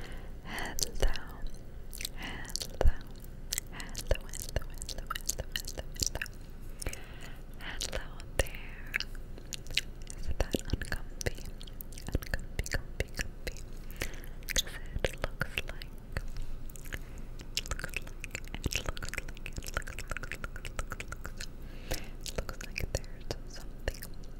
hello, hello, hello, hello, there. Isn't that uncomfy? Uncomfy, comfy, comfy. Because it looks like, looks like, looks like there's something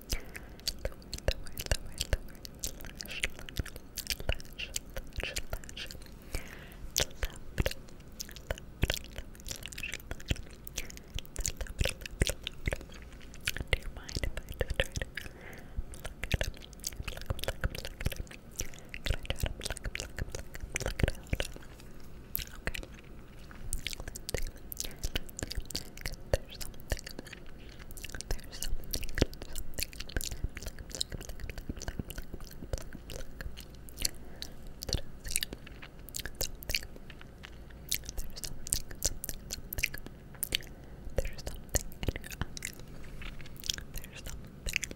lower, lower, lower, lash, lash, lash, lash, left, do you mind if I just try to pluck it up, pluck, pluck, pluck it up? Can I try to pluck, pluck, pluck, pluck it out? Okay. There's something. There's something. There's something in your eye. There's something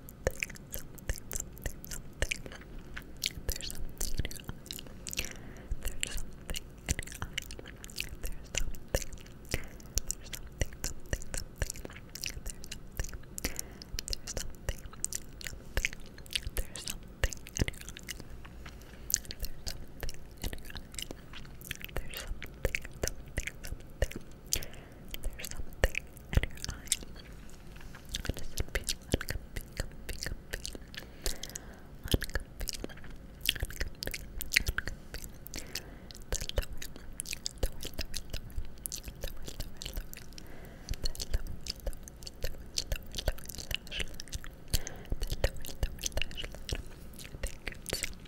something, something, something, something. There's something in your There's something There's something. There's something, something, something. There's something. There's something, There's something There's something There's something, something, something. There's something in your eye. It doesn't feel uncomfy, comfy, comfy. Uncomfy, uncomfy, uncomfy. The lower, lower, lower, lower, lower, lower, lower. The lower, lower, lower, lower, lower lash line. The lower, lower lash line. Thank you so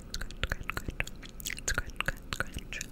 I think there's the I think it's the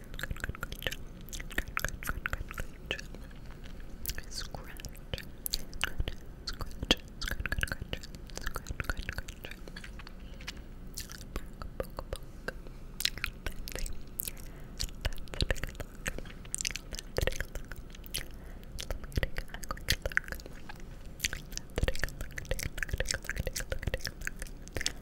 Good, good, good job. Good, good, good, good job. Scratch. Good. Scratch. Scratch, good, good job. Scratch, good, good job. Poke, poke, poke. That's it. That's a big look. Let's take a look. Let me take a quick look. Let's take a look, take a look, take a look, take a look, take a look.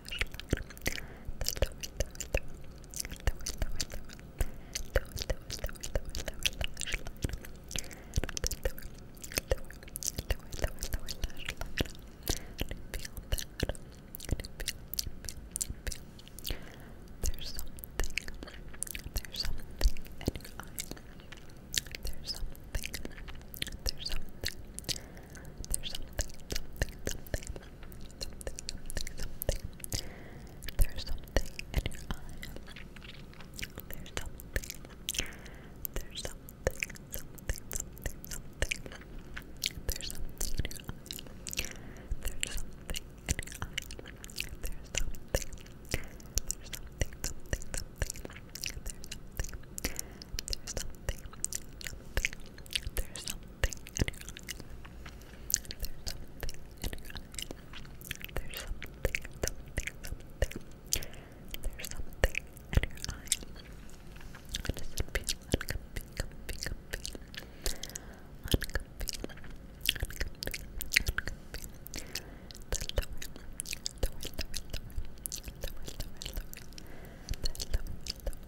there's something, there's something in your eye. There's something, there's something. There's something, something, something, something, something, something. There's something in your eye. There's something. There's something, something, something, something. There's something in your eye. There's something in your eye. There's something. There's something, something, something. There's something. There's something, something. There's something something in your eye. There's something There's something, something, something. There's something in your eye. It doesn't feel uncomfy, comfy, comfy. Uncomfy, uncomfy, uncomfy. The lower, lower, lower, lower, lower, lower, lower. The lower, lower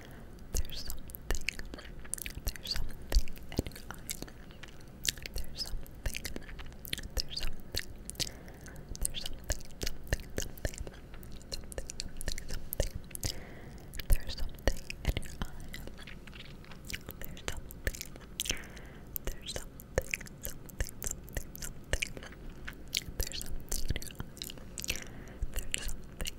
There's something. There's something in your eye. There's something. There's something. There's something. Something. Something. Something. Something. Something. There's something in your eye. There's something. There's something. Something. Something. Something. There's something in your eye. There's something.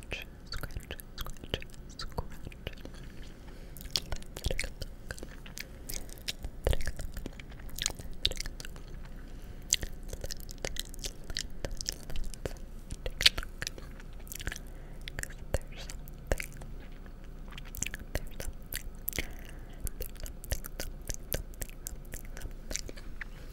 scratch, scratch, scratch, scratch. Let's take a look. Let's take a look. Let's take a look. Let's, let's, let's take a look. Because there's something. There's something. There's something, something, something, something, something.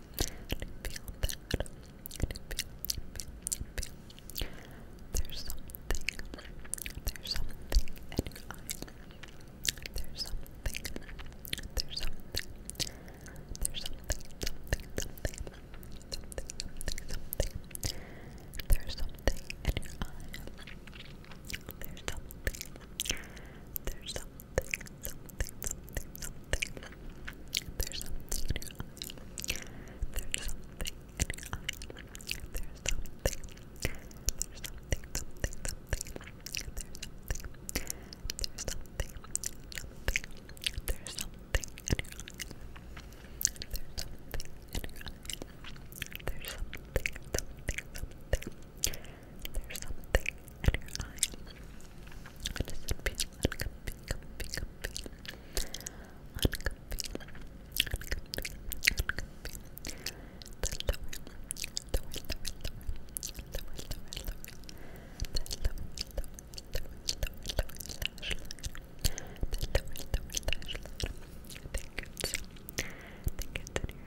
feel that. I feel, feel, There's something. There's something There's something. There's something. something. Something. Something. Something. Something. Something. There's something in your eye. There's something. There's something something, something, something, something. There's something There's something There's something. There's something, something, something. There's something. There's something, There's something There's something, something, something. There's something in your eye. It doesn't feel uncomfy, comfy, comfy. Uncomfy, uncomfy, uncomfy. The lower, lower, lower, lower, lower, lower, lower. The lower, lower, lower, lower, lower lash line. The lower, lower lash line. I think it's, I think it's in your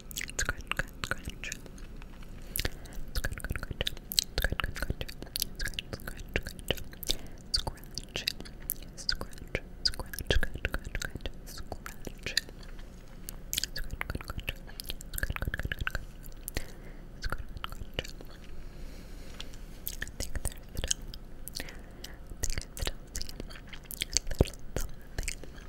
Scratch, scratch, scratch. Scratch, scratch, scratch. Scratch, scratch, scratch. Scratch, scratch, scratch. Scratch, scratch, scratch. I think there's still, I think I still see a little something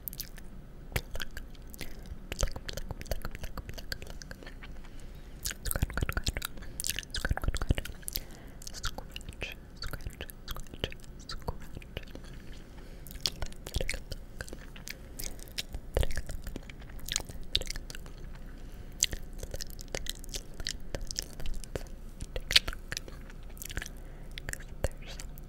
Because there's something